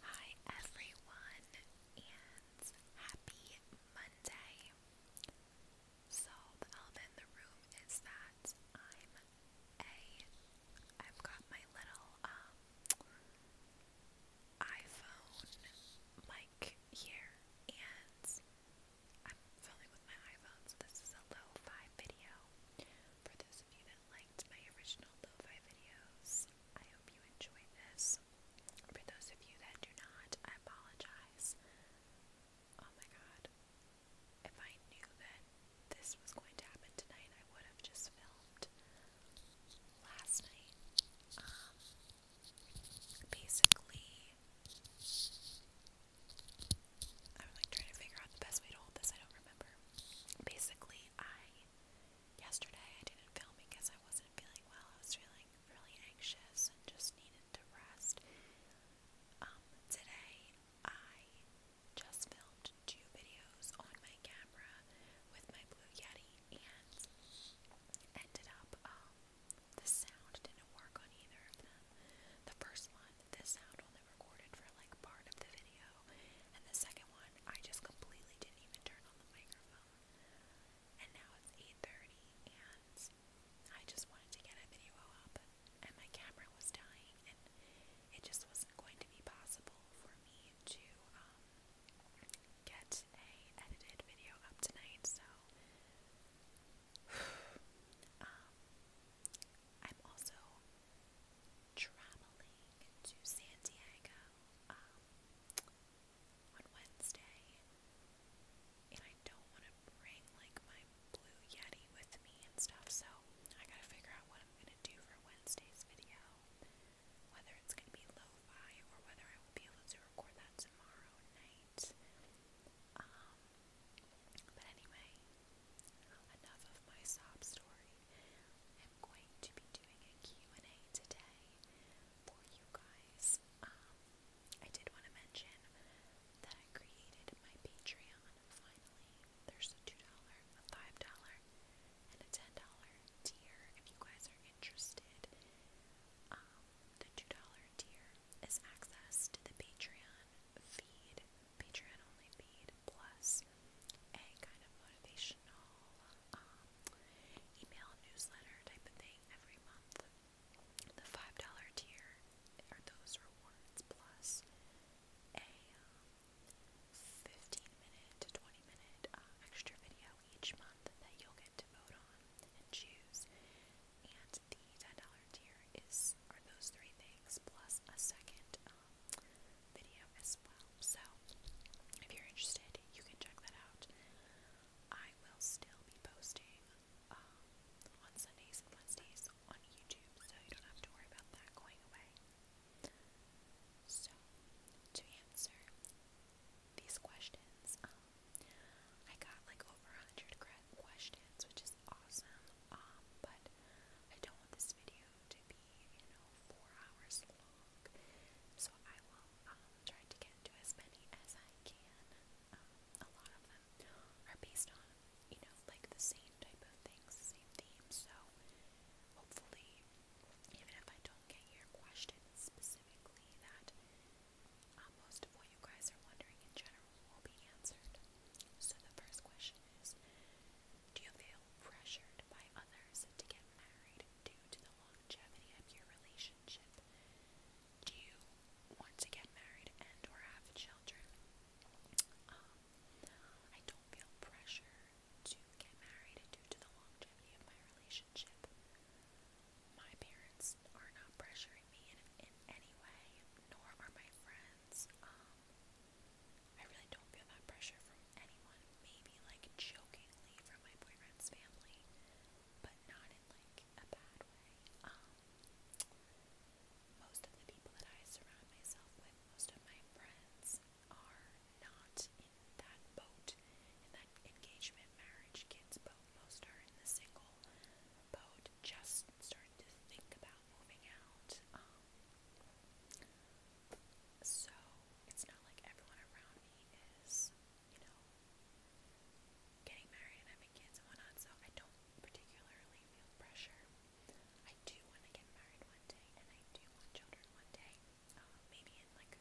Hi everyone and happy Monday. So the element in the room is that I'm a I've got my little um iPhone mic here and I'm filming with my iPhone so this is a low fi video. For those of you that liked my original lo videos, I hope you enjoyed this. For those of you that do not, I apologize. Oh my god. If I knew that this was going to happen tonight, I would have just filmed last night. Um, basically, I'm like trying to figure out the best way to hold this. I don't remember. Basically, I Yesterday I didn't film because I wasn't feeling well. I was feeling really anxious and just needed to rest. Um, today I just filmed two videos on my camera with my Blue Yeti and ended up, um, the sound didn't work on either of them. The first one, the sound on the recorded for like part of the video, and the second one I just completely didn't even turn on the microphone. And now it's 8:30, and I just wanted to get a video up, and my camera was dying, and it just wasn't going to be possible for me to um, get a edited video up tonight. So. um, I'm also traveling to San Diego um, on Wednesday, and I don't want to bring like my blue Yeti with me and stuff, so I gotta figure out what I'm gonna do for Wednesday's video. Whether it's gonna be lo-fi or whether I will be able to record that tomorrow night. Um, but anyway, enough of my sob story story. I'm going to be doing a and a today for you guys. Um, I did want to mention that I created my Patreon finally. There's a $2, a $5, and a $10 tier if you guys are interested. Um, the $2 tier is access the Patreon feed, Patreon only feed plus a kind of motivational um, email newsletter type of thing every month. The $5 tier are those rewards plus a um, 15 minute to 20 minute uh, extra video each month that you'll get to vote on and choose. And the $10 tier is are those three things plus a second um, video as well. So if you're interested, you can check that out. I will still be posting um, on Sundays and Wednesdays on YouTube, so you don't have to worry about that going away. So to answer these questions, um, I got like over a hundred questions, which is awesome. Um, but I don't want this video to be, you know, four hours long long. So I will um, try to get to as many as I can. Um, a lot of them are based on, you know, like the same type of things, the same theme. So hopefully, even if I don't get your question specifically, that uh, most of what you guys are wondering in general will be answered. So the first question is do you feel pressured by others to get married due to the longevity of your relationship? Do you want to get married and or have children? Um, I don't feel pressure to get married due to the longevity of my relationship. My parents are not pressuring me in, in any way, nor are my friends. Um, I really don't feel that pressure from anyone. Maybe like jokingly from my boyfriend's family, but not in like a bad way. Um, most of the people that I surround myself with, most of my friends, are not in that boat, in that engagement, marriage, kids boat. Most are in the single boat, just starting to think about moving out. Um, so it's not like everyone around me is, you know, getting married and having kids and whatnot, so I don't particularly feel pressure. I do want to get married one day and I do want children one day. Um, maybe in like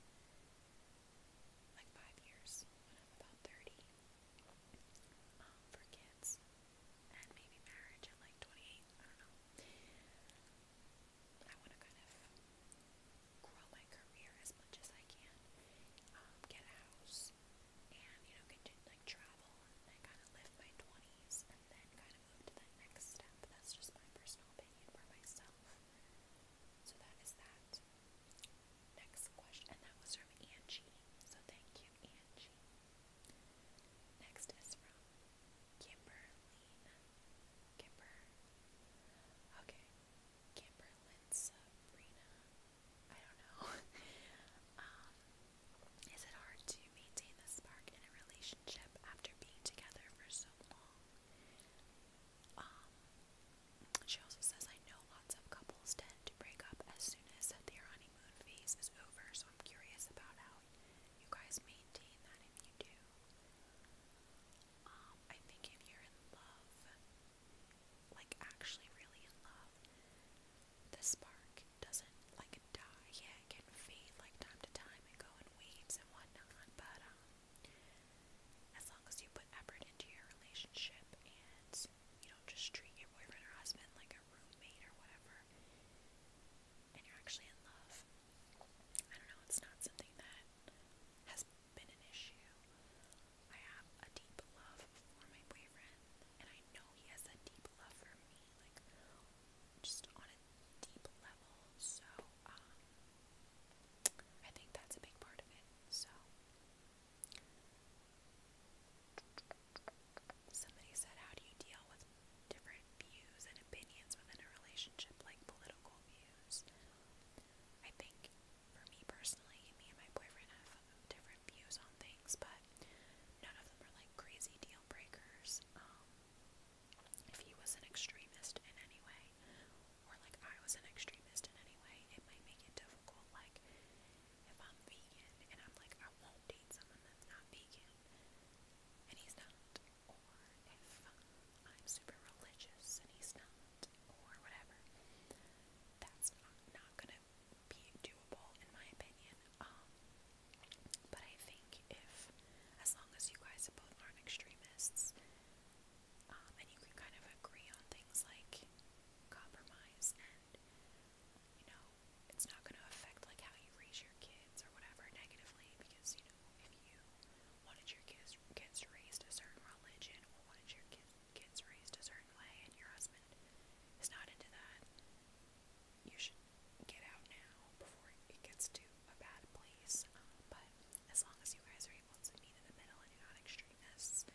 like five years when I'm about thirty. Um, for kids. And maybe marriage at like twenty eight. I don't know. I want to kind of grow my career as much as I can, um, get a house, and you know, continue like travel and kind of live my twenties, and then kind of move to that next step. That's just my personal opinion for myself. So that is that. Next question, and that was from Angie. So thank you, Angie. Next is from Kimberlyn, Kimber, okay, Kimberlyn Sabrina, I don't know, um, is it hard to maintain the spark in a relationship after being together for so long? Um, she also says, I know lots of couples tend to break up as soon as their honeymoon phase is over, so I'm curious about how you guys maintain that if you do. Um, I think if you're in love, like actually really in love, the spark doesn't like die. Yeah, it can fade like time to time and go in waves and whatnot, but um, as long as you put effort into your relationship and you don't just treat your boyfriend or husband like a roommate or whatever, and you're actually in love. I don't know, it's not something that has been an issue. I have a deep love for my boyfriend, and I know he has a deep love for me, like just on a deep level. So, um, I think that's a big part of it. So, somebody said, How do you deal with different views and opinions within a relationship, like political views? use. I think for me personally, me and my boyfriend have different views on things, but none of them are like crazy deal breakers. Um, if he was an extremist in any way, or like I was an extremist in any way, it might make it difficult. Like if I'm vegan and I'm like, I won't date someone that's not vegan, and he's not, or if I'm super religious and he's not, or whatever. That's not, not gonna be doable, in my opinion. Um, but I think if, as long as you guys both aren't extremists, um, and you can kind of agree on things like compromise and, you know, it's not gonna affect like how you raise your kids or whatever negatively because, you you know, if you wanted your kids kids raised a certain religion or wanted your kids kids raised a certain way and your husband is not into that, you should get out now before it gets to a bad place. Um, but as long as you guys are able to meet in the middle and you're not extremists,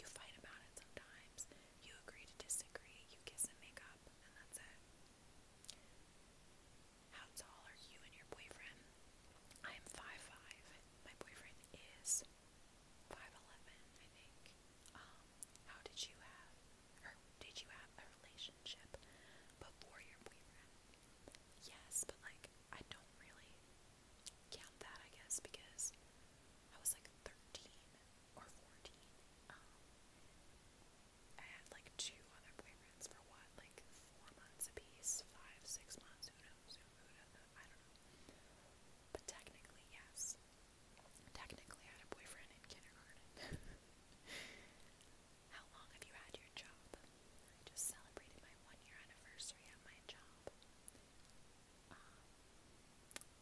you fight about it sometimes. You agree to disagree, you kiss and make up, and that's it. How tall are you and your boyfriend? I am 5'5. My boyfriend is 5'11, I think. Um, how did you have, or did you have a relationship before your boyfriend? Yes, but like, I don't really count that, I guess, because I was like 13 or 14. Um, I had like two other boyfriends for what, like four months a piece, five, six months, who knows, who, knows, I don't know. But technically, yes. Technically, I had a boyfriend in kindergarten. How long have you had your job? I just celebrated my one year anniversary at my job. Um,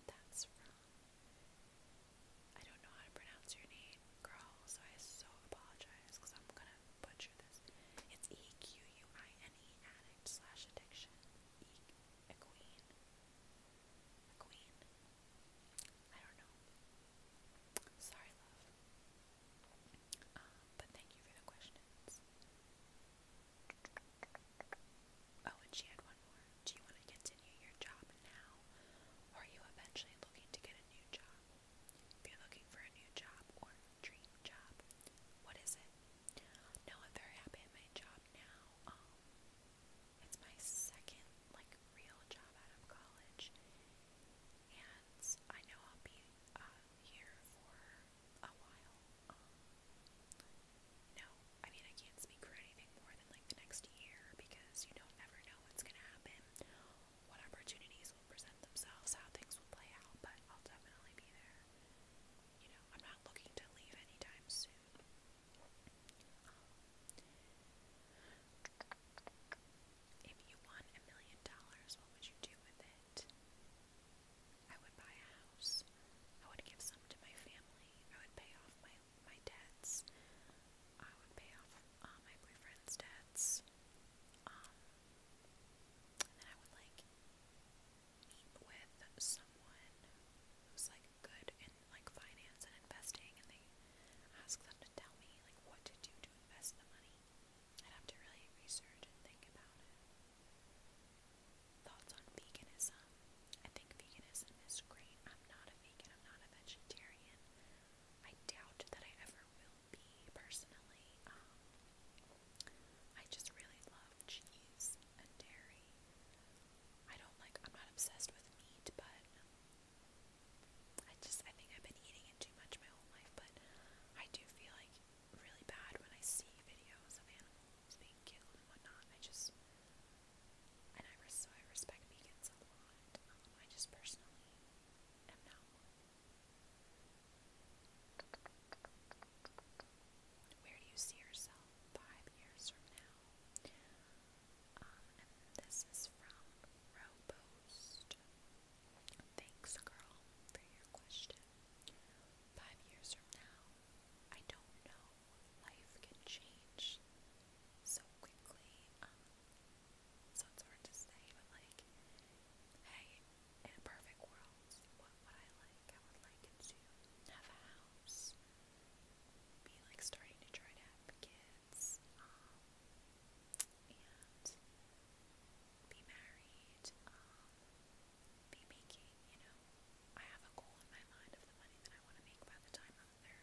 that's I don't know how to pronounce your name, girl, so I so apologize because I'm gonna put it's E Q U I N E addict slash addiction. E a queen. A queen. I don't know. Sorry, love. Um, but thank you for the questions. Oh, and she had one more. Do you want to continue your job now? Or are you eventually looking to get a new job? you're looking for a new job or dream job, what is it? No, I'm very happy at my job now. Um, it's my second like real job out of college, and I know I'll be uh, here for a while. Um, no, I mean I can't speak for anything more than like the next year because you don't ever know what's gonna happen what opportunities will present themselves, how things will play out, but I'll definitely be there. You know, I'm not looking to leave anytime soon. if you won a million dollars, what would you do with it? I would buy a house. I would give some to my family. I would pay off my my debts. I would pay off uh, my boyfriend's debts. Um, and then I would like meet with someone who's like good in like finance and investing, and they ask them to tell me like what to do to invest the money. I'd have to really research and think about it. Thoughts on veganism? I think veganism is great. I'm not a vegan. I'm not a vegetarian. I doubt that I ever will be personally. Um, I just really love cheese and dairy. I don't like, I'm not obsessed with meat, but I just, I think I've been eating it too much my whole life, but I do feel like really bad when I see videos of animals being killed and whatnot. I just, and I, so I respect vegans a lot. Um, I just personally am Where do you see yourself five years from now? Um, this is from Robost. Thanks, girl, for your question. Five years from now, I don't know. Life can change so quickly. Um, so it's hard to say, but like, hey, in a perfect world, what would I like? I would like to have a house, be like starting to try to have kids, um, and be married, um, be making, you know, I have a goal in my mind of the money that I want to make by the time I'm 30,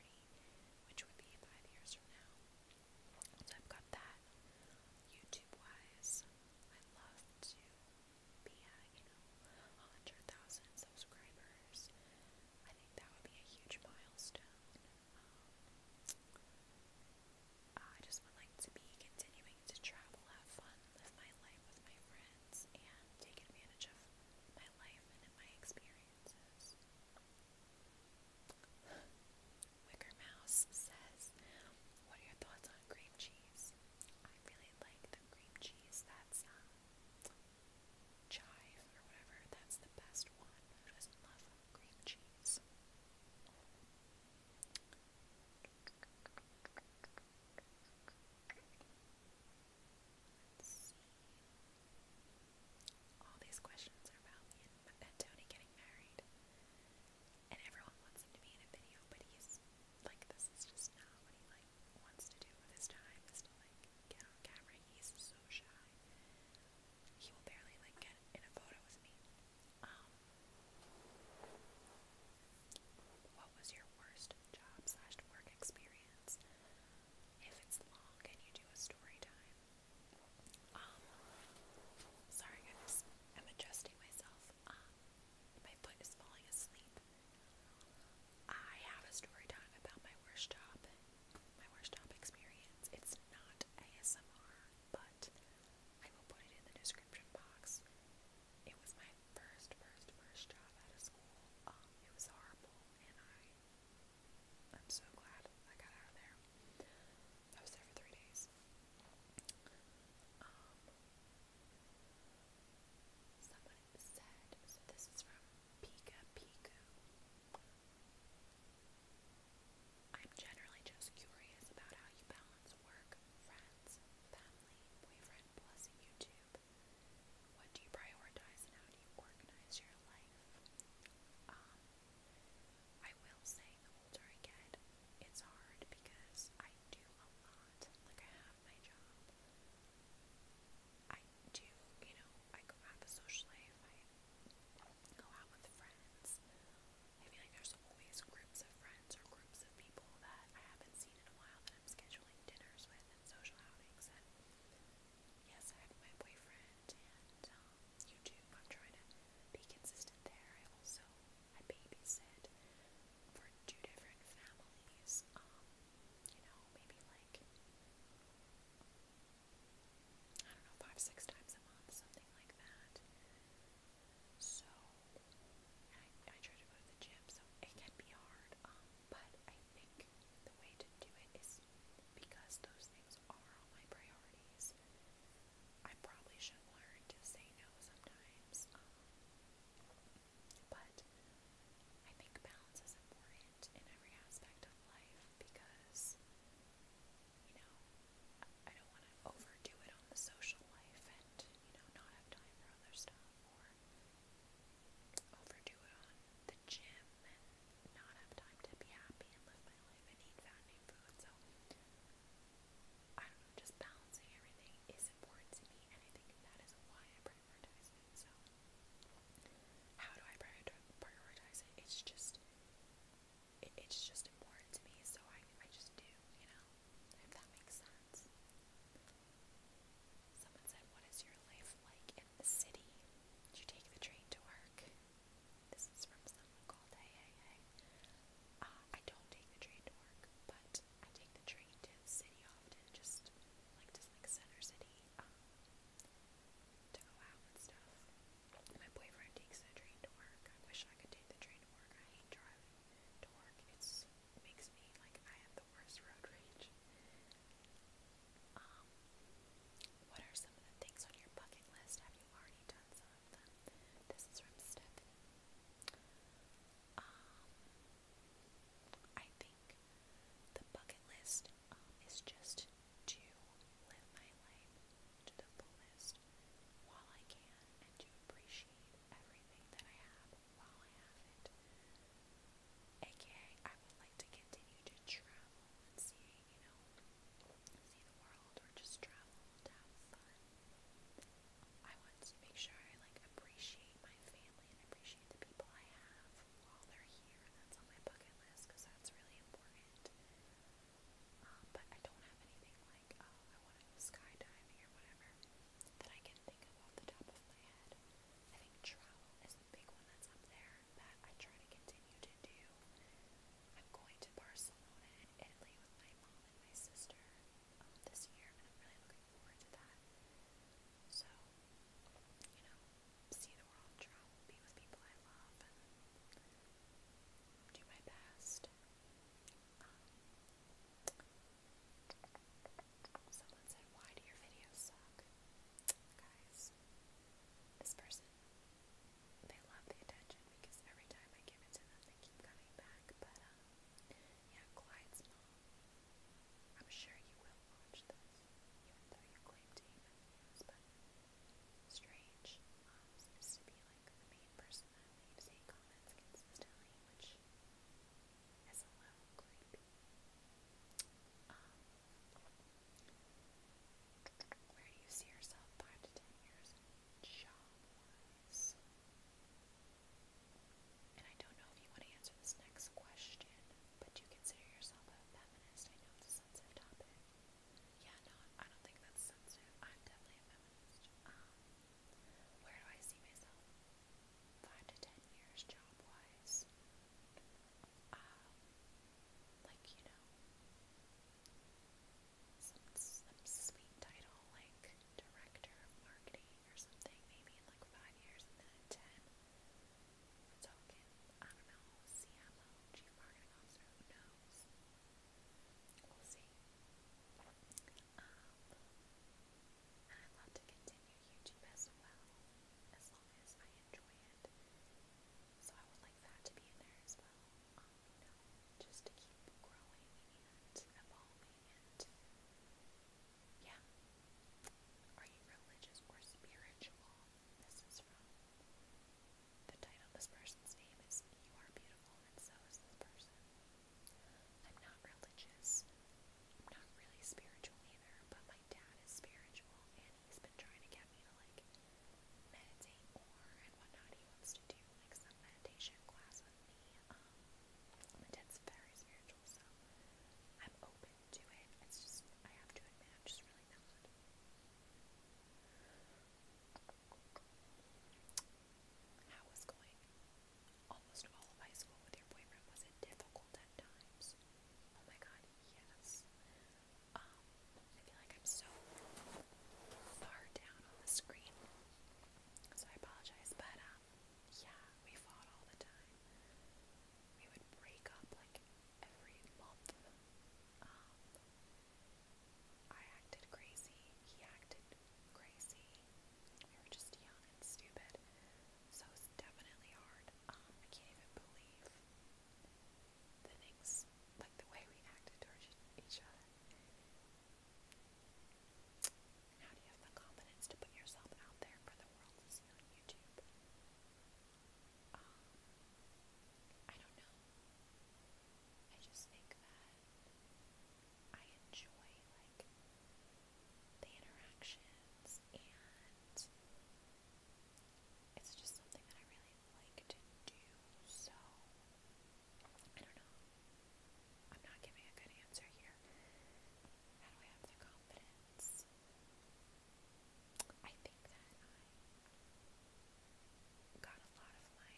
which would be five years from now. So I've got that. YouTube wise, I love to be at, you know, 100,000 subscribers. I think that would be a huge milestone. Um, I just would like to be continuing to travel, have fun, live my life with my friends, and take advantage of my life and my experiences. Wicker Mouse says, What are your thoughts on cream cheese? I really like the cream cheese that's um, chive or whatever. That's the best one. Who doesn't love cream cheese? Let's see. All these questions are about me and Tony getting married. And everyone wants him to be in a video, but he's like, this is just not what he like wants to do with his time. Is to like get on camera. He's so shy. He will barely like get in a photo with me. Um, what was your worst job slash work experience? If it's long and you do story time, um, sorry I'm adjusting myself. Um, my foot is falling asleep. I have a story time about my worst job, my worst job experience. It's not ASMR, but I will put it in the description box. It was my first, first, first job out of school. Um, it was horrible, and I, I'm so glad I got out of there. I was there for three days. Um, this. I'm generally just curious about how you balance work, friends, family, boyfriend, plus YouTube. What do you prioritize and how do you organize your life? Um, I will say, the older I get, it's hard because I do a lot. Like, I have my job. I do, you know, I go have a social life. I go out with friends. I feel like there's always groups of friends or groups of people that I haven't seen in a while that I'm scheduling dinners with and social outings. And yes, I have my boyfriend and um, YouTube. I'm trying to be consistent there. I also I babysit for two different families. Um, you know, maybe like I don't know, five, six times a month, something like that. So I, I try to go to the gym, so it can be hard. Um, but I think the way to do it is because those things are on my priorities. I probably should learn to say no sometimes. Um, but I think balance is important in every aspect of life because, you know, I don't want to overdo it on the social life and, you know, not have time for other stuff or overdo it on the gym and not have time to be happy and live my life and eat fattening food. So I don't know, just balancing everything is important to me, and I think that is why I prioritize it. So, how do I prioritize it? It's just, it's just important to me, so I, I just do, you know, if that makes sense. Someone said, What is your life like in the city? Do you take the train to work? This is from someone called Hey Hey Hey. Uh, I don't take the train to work, but I take the train to the city often, just like to like Center City, um, to go out and stuff. My boyfriend takes the train to work. I wish I could take the train to work. I hate driving to work. It's it makes me like I have the worst road rage. Um, what are some of the things on your bucket list? Have you already done some? love um, I think the bucket list um, is just to live my life to the fullest while I can and to appreciate everything that I have while I have it. AKA, I would like to continue to travel and see, you know, see the world or just travel to have fun. I want to make sure I like appreciate my family and appreciate the people I have while they're here. That's on my bucket list because that's really important. Um, but I don't have anything like, oh, I want to go or whatever that I can think of off the top of my head. I think travel is the big one that's up there that I try to continue to do. I'm going to Barcelona and Italy with my mom my sister um, this year, and I'm really looking forward to that. So, you know, see the world, travel, be with people I love, and um, do my best. Um, someone said, Why do your videos suck? Guys, this person, they love the attention because every time I give it to them, they keep coming back. But, yeah, Clyde's mom. I'm sure you will watch this, even though you claim to hate my but Strange um, to be like the main person that leaves hate comments consistently, um, where do you see yourself five to ten years? job is. And I don't know if you want to answer this next question, but do you consider yourself a feminist? I know it's a sensitive topic. Yeah, no, I don't think that's sensitive. I'm definitely a feminist. Um, where do I see myself? Five to ten years job wise. Um, like, you know, some, some sweet title like director of marketing or something, maybe in like five years and then ten. I don't know, CMO, Chief Marketing Officer, who knows? We'll see. Um, and i love to continue YouTube as well, as long as I enjoy it. So I would like that to be in there as well. Um, you just to keep growing and evolving. And yeah. Are you religious or spiritual? This is from the title. This person's name is You Are Beautiful, and so is this person. I'm not religious. I'm not really spiritual either, but my dad is spiritual, and he's been trying to get me to like meditate more and whatnot. He wants to do like some meditation class with me. Um, my dad's very spiritual, so I'm open to it. It's just, I have to admit, just really not. How was going almost all of high school with your boyfriend? Was it difficult at times? Oh my god, yes. Um, I feel like I'm so far down on the screen, so I apologize, but um, yeah, we fought all the time. We would break up like every month. Um, I acted crazy. He acted crazy. We were just young and stupid. So definitely hard. Um, I can't even believe the things, like the way we acted towards each other. How do you have the confidence to put yourself out there for the world to see on YouTube? Um, I don't know. I just think that I enjoy like the interactions and it's just something that I really like to do. So I don't know. I'm not giving a good answer here. How do I have the confidence? I think that I got a lot of my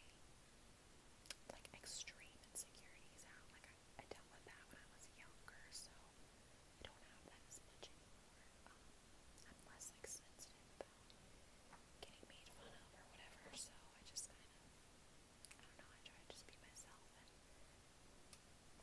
like extreme insecurities out. Like I, dealt with that when I was younger, so I don't have that as much anymore. Um, I'm less sensitive about getting made fun of or whatever, so I just kind of I don't know, I try to just be myself,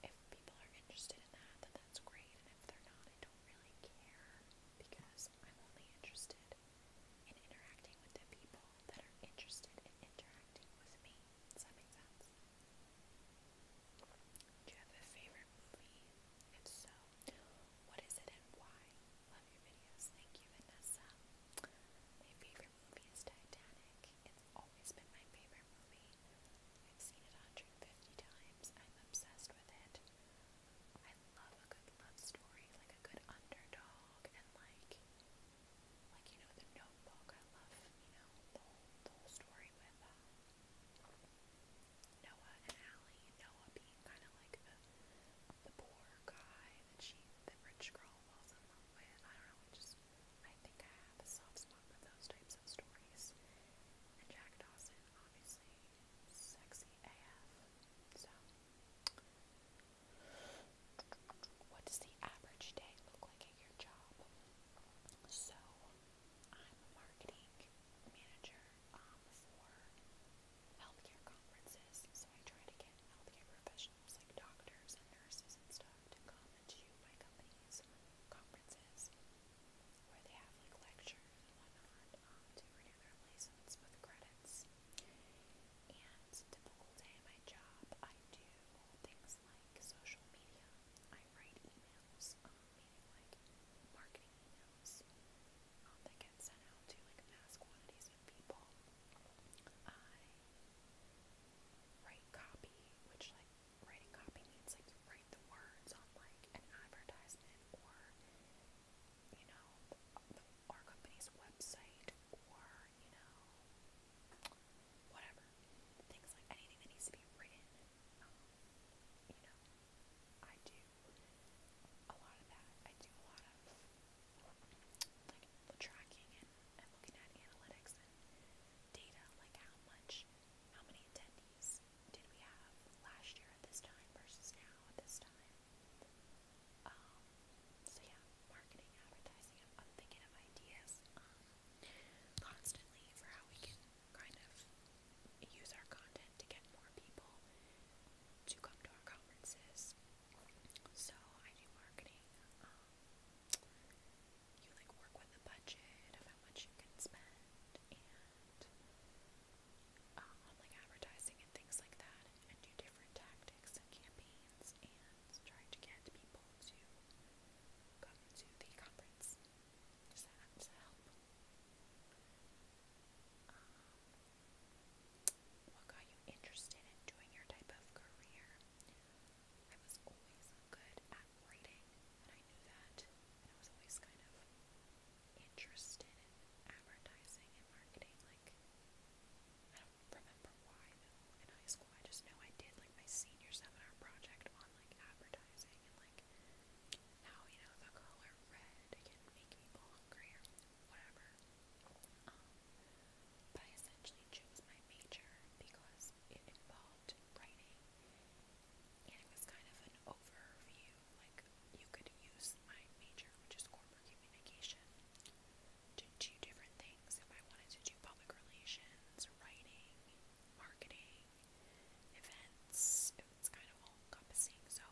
if people are interested in that, then that's great, and if they're not, I don't really care, because I'm only interested in interacting with the people that are interested in interacting with me. Does that make sense? Do you have a favorite movie? If so, what is it and why? Love your videos. Thank you, Vanessa. My favorite movie is Titanic. It's always been my favorite movie. I've seen it 150 times. I'm obsessed with it. I love a good love story, like a good underdog, and like, like you know, The Notebook. I love, you know, the whole, story with uh, Noah and Allie. Noah being kind of like the the poor guy that she, the rich girl, falls in love with. I don't know. I think I have a soft spot for those types of stories. And Jack Dawson, obviously, sexy AF. So, what does the average day look like at your job? So, I'm a marketing manager um, for healthcare conferences, so I try to get healthcare professionals professionals like doctors and nurses and stuff to come and to my company's conferences where they have like lectures and whatnot um, to renew their license with credits. And typical day at my job, I do things like social media. I write emails, um, meaning like marketing emails um, that get sent out to like mass quantities of people. I write copy, which like writing copy means like you write the words on like an advertisement or you know the, our company's website or you know whatever things like anything that needs to be written. Um, you know, I do a lot of that. I do a lot of tracking and, looking at analytics and data, like how much, how many attendees did we have last year at this time versus now at this time. Um, so yeah, marketing, advertising, I'm, thinking of ideas um, constantly for how we can kind of use our content to get more people to come to our conferences. So I do marketing. Um, you like work with a budget of how much you can spend and uh, on like advertising and things like that and, do different tactics and campaigns and try to get people to come to the conference. Does that, does that help? Um, what got you interested in doing your type of career? I was always good at writing, and I knew that, and I was always kind of interested in advertising and marketing. Like, I don't remember why though in high school. I just know I did like my senior seminar project on like advertising and like how you know the color red can make people hungry or whatever. Um, but I essentially chose my major because because it involved writing and it was kind of an overview. Like, you could use my major, which is corporate communication, to do different things. If I wanted to do public relations, writing, marketing, events, it was kind of all encompassing. So,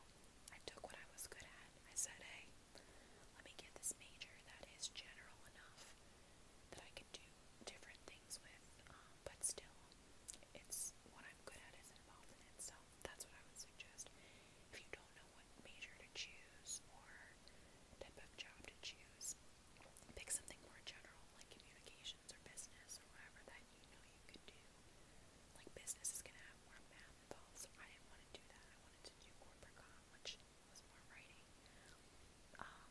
I took what I was good at. I said, hey, let me get this major that is general enough that I can do different things with, um, but still, it's what I'm good at is involved in it, so that's what I would suggest. If you don't know what major to choose or type of job to choose, pick something more general, like communications or business or whatever that you know you can do. Like business is gonna have more math involved, so I didn't want to do that. I wanted to do corporate com, which was more writing. Um,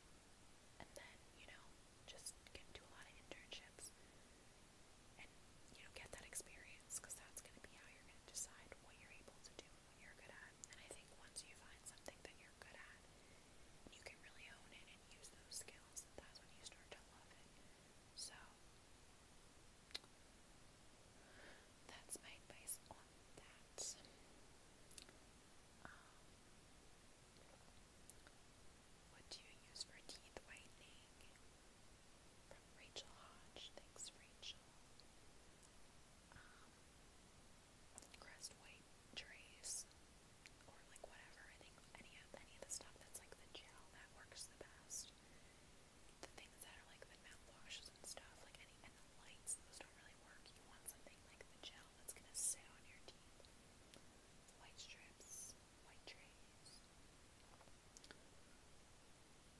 and then, you know, just get into a lot of internships and, you know, get that experience because that's going to be how you're going to decide what you're able to do and what you're good at. And I think once you find something that you're good at, you can really own it and use those skills, that's when you start to love it. So, that's my advice on that. Um, what do you use for teeth whitening? Rachel Hodge. Thanks, Rachel. Um, crest white trays, or like whatever. I any of any of the stuff that's like the gel that works the best. The things that are like the mouthwashes and stuff, like any and the lights, those don't really work. You want something like the gel that's gonna sit on your teeth. White strips, white trays.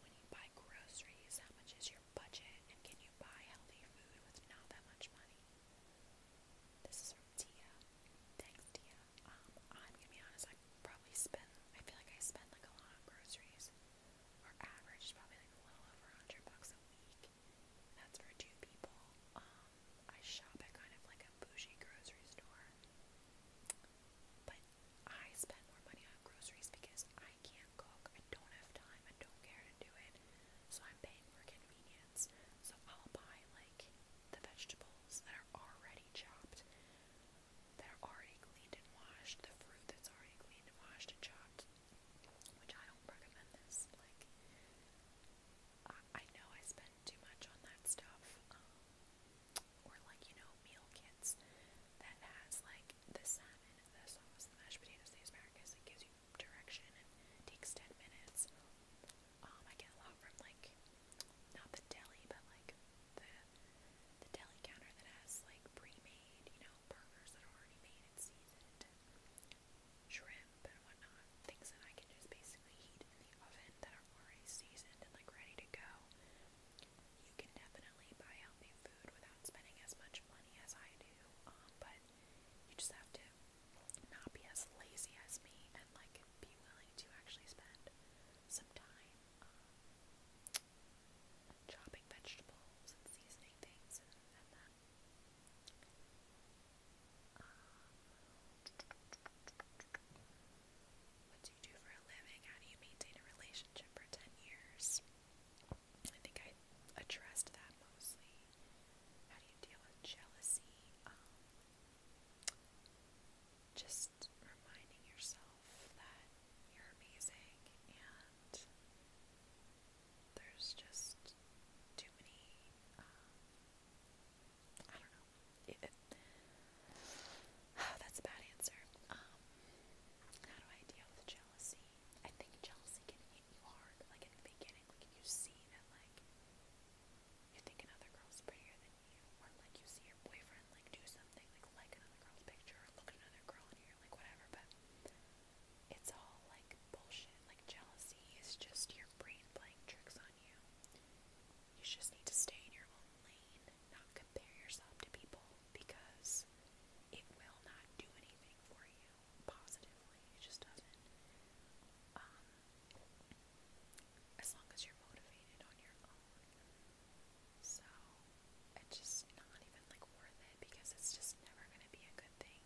When you buy groceries, how much is your budget and can you buy healthy food with not that much money? This is from Tia. Thanks, Tia. Um, I'm gonna be honest, I probably spend I feel like I spend like a lot on groceries. Our average is probably like a little over a hundred bucks a week that's for two people. Um, I shop at kind of like a bougie grocery store. But I spend more money on groceries because I can't cook. I don't have time. I don't care to do it. So I'm paying for convenience. So I'll buy like the vegetables that are already chopped, that are already cleaned and washed, the fruit that's already cleaned and washed and chopped, which I don't recommend this. Like, I, I know I spend too much on that stuff, um, or like you know meal kits that has like the salmon, the sauce, the mashed potatoes, the asparagus. It gives you direction and takes ten minutes. Um, I get a lot from like not the deli, but like the the deli counter that has like pre-made, you know, burgers that are already made and seasoned, shrimp shrimp and whatnot, things that I can just basically heat in the oven that are already seasoned and like ready to go. You can definitely buy healthy food without spending as much money as I do, um, but you just have to not be as lazy as me and like be willing to actually spend some time um, chopping vegetables and seasoning things and, and that. What do you do for a living? How do you maintain a relationship for 10 years? I think I addressed that mostly. How do you deal with jealousy? Um, just reminding yourself that you're amazing and there's just too many. Um, I don't know. that's a bad answer. Um, how do I deal with jealousy? I think jealousy can hit you hard, like in the beginning. Like you see that, like you think another girl's prettier than you, or like you see your boyfriend like do something, like like another girl's picture, look at another girl, and you're like whatever. But it's all like bullshit. Like jealousy is just your brain playing tricks on you. You just need to stay in your own lane, not compare yourself to people because it will not do anything for you positively. It just doesn't. Um, as long as you're motivated on your own. So, it's just not even like worth it because it's just never going to be a good thing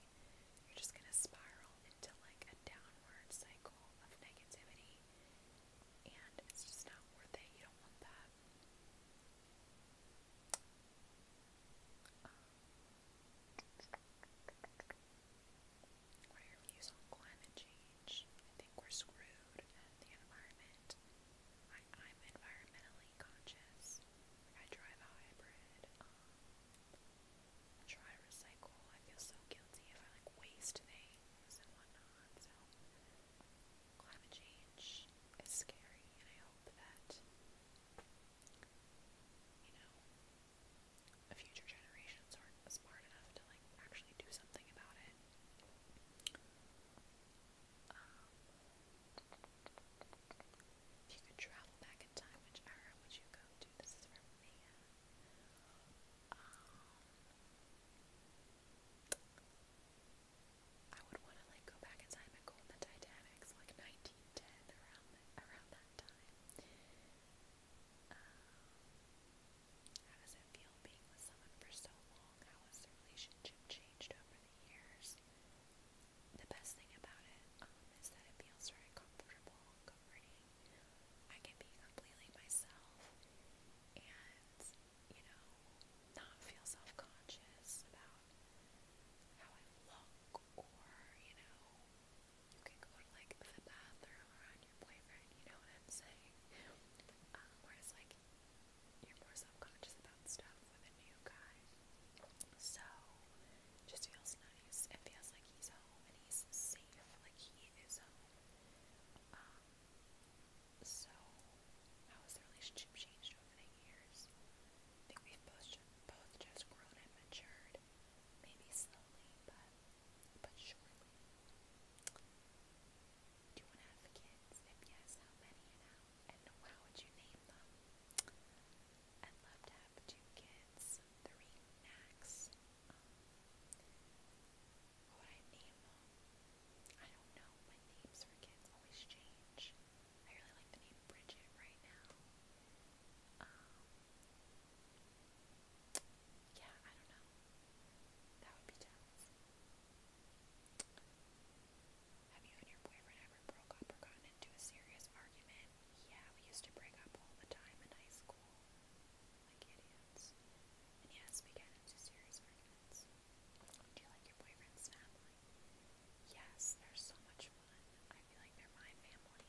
you're just going to spiral into like a downward cycle of negativity, and it's just not worth it. You don't want that. Um, views on climate change? I think we're screwed at the environment. I, am environmentally conscious. I drive a hybrid. Um, try recycle. I feel so guilty if I like waste things and whatnot. So climate change is scary, and I hope that you know future generations are smart enough to like actually do something about it. Um, if you could travel back in time, which era would you go to? This is from um, Mia. I would want to like go back in time and go on the Titanic, like 1910 around that time. Um, how does it feel being with someone for so long? How has the relationship changed over the years? The best thing about it um, that it feels very comfortable, comforting, I can be completely myself and, you know, not feel self conscious about how I look or, you know, you can go to like the bathroom around your boyfriend, you know what I'm saying? Um, whereas like you're more self conscious about stuff with a new guy. So just feels nice. It feels like he's home and he's safe, like he is home. Um, um, so how has the relationship changed over the years? I think we've both just, both just grown and matured, maybe slowly, but but surely. Do you want to have kids? If yes, how many and how? And how would you name them? I'd love to have two kids some three knacks. Um, what I name them, I don't know. My names for kids always change. I really like the name Bridget right now. Um, yeah, I don't know. That would be tough. Have you and your boyfriend ever broke up or gotten into a serious argument? Yeah, we used to break up all the time in high school school like idiots. And yes, we get into serious arguments. Do you like your boyfriend's family? Yes, they're so much fun. I feel like they're my family.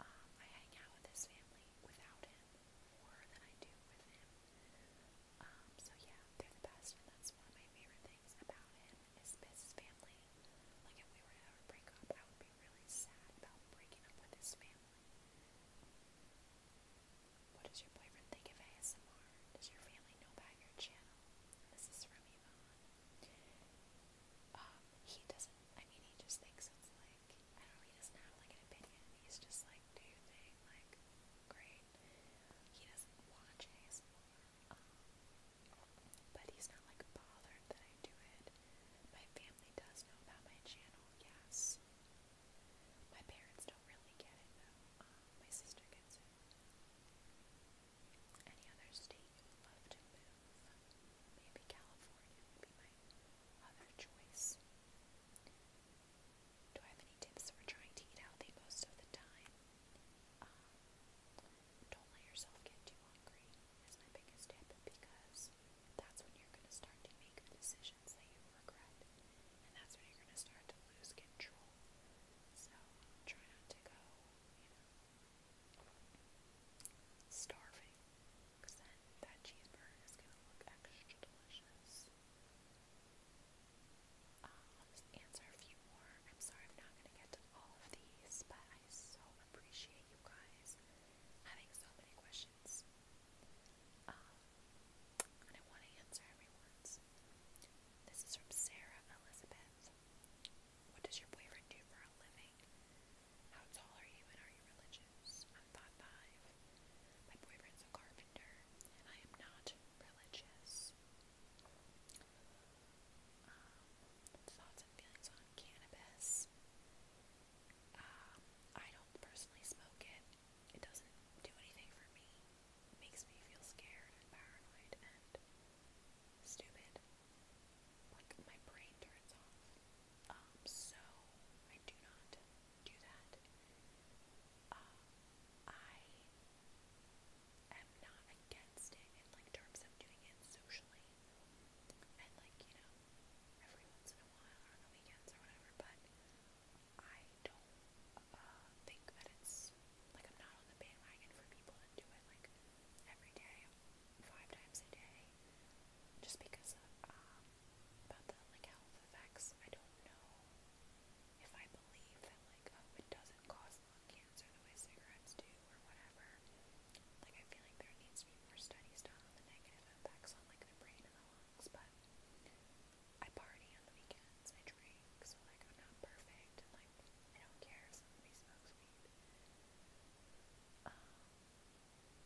Um, I hang out with his family without him more than I do with him. Um, so yeah, they're the best, and that's one of my favorite things about him is his family. Like if we were to ever break up, I would really sad about breaking up with his family. What does your boyfriend think of ASMR? Does your family know about your channel? This is from Yvonne. Um, he doesn't, I mean, he just thinks it's like, I don't know, he doesn't have like an opinion. He's just like, do like, great. He doesn't watch ASMR. Um, but he's not like bothered that I do it. My family does know about my channel, yes. My parents don't really get it though. Um, my sister gets it. Any other state you would love to move? Maybe California would be my other choice. Do I have any tips for trying to eat healthy most of the time? Um, don't let yourself get too hungry is my biggest tip because that's when you're going to start to make decisions that you regret, and that's when you're going to start to lose control. So try not to go, you know, starving, then that cheeseburger is going to look extra delicious. I'll um, answer a few more. I'm sorry I'm not going to get to all of these, but I so appreciate you guys having so many questions. Um, and I want to answer everyone's. This is from Sarah Elizabeth. What does your boyfriend do for a living? How tall are you and are you religious? I'm 5'5". My boyfriend's a carpenter and I am not religious. Um, thoughts and feelings on cannabis. Um, I don't personally smoke it. It doesn't do anything for me. It makes me feel scared and paranoid and stupid. Like my brain turns off. Um, so I do not do that. Um, I am not against it in like terms of doing it socially family. And like, you know, every once in a while or on the weekends or whatever, but I don't uh, think that it's like I'm not on the bandwagon for people that do it like every day, five times a day, just because of, um, about the like health effects. I don't know if I believe that like oh it doesn't cause lung cancer the way cigarettes do or whatever. Like, I feel like there needs to be more studies done on the negative impacts on, like, the brain and the lungs, but I party on the weekends, I drink, so, like, I'm not perfect, I don't care if somebody smokes weed. Um,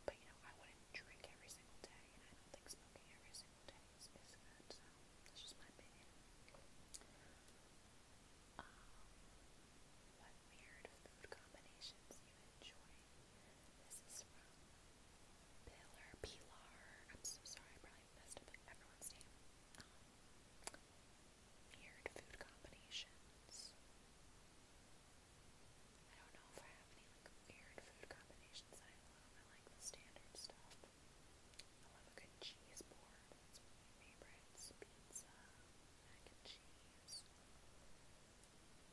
but, you know, I wouldn't drink every single day, and I don't think smoking every single day is, good, so that's just my opinion. Um, what weird food combinations you enjoy Pilar Pilar. I'm so sorry, I probably messed up everyone's name. Um, weird food combinations. I don't know if I have any like weird food combinations that I love. I like the standard stuff. I love a good cheese board. That's one of my favorites. Pizza, mac and cheese.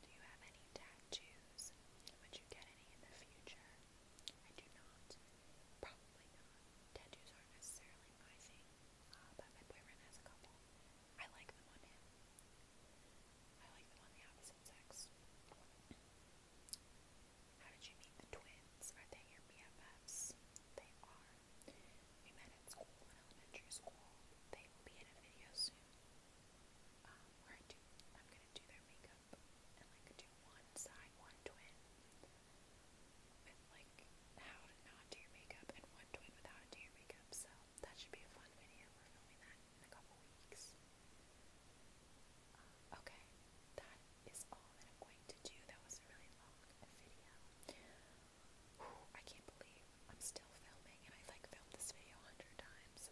Do you have any tattoos? Would you get any in the future? I do not. Probably not. Tattoos aren't necessarily my thing, uh, but my boyfriend has a couple. I like them on him. I like them on the opposite sex. How did you meet the twins? Are they your BFFs? They are. We met at school in elementary school. They will be in a video soon. I am gonna do their makeup and like do one side, one twin with like how to not do makeup and one twin with how makeup. So that should be a fun video. We're filming that in a couple weeks. okay, that is all that I'm going to do. That was a really long video. I can't believe I'm still filming and I've like filmed this video a hundred times.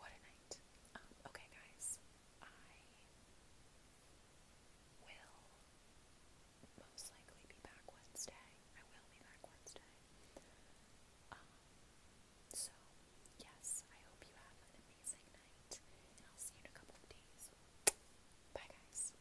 What a night. Um, okay guys, I will most likely be back Wednesday. I will be back Wednesday. Um, so, yes, I hope you have an amazing night and I'll see you in a couple of days. Bye guys.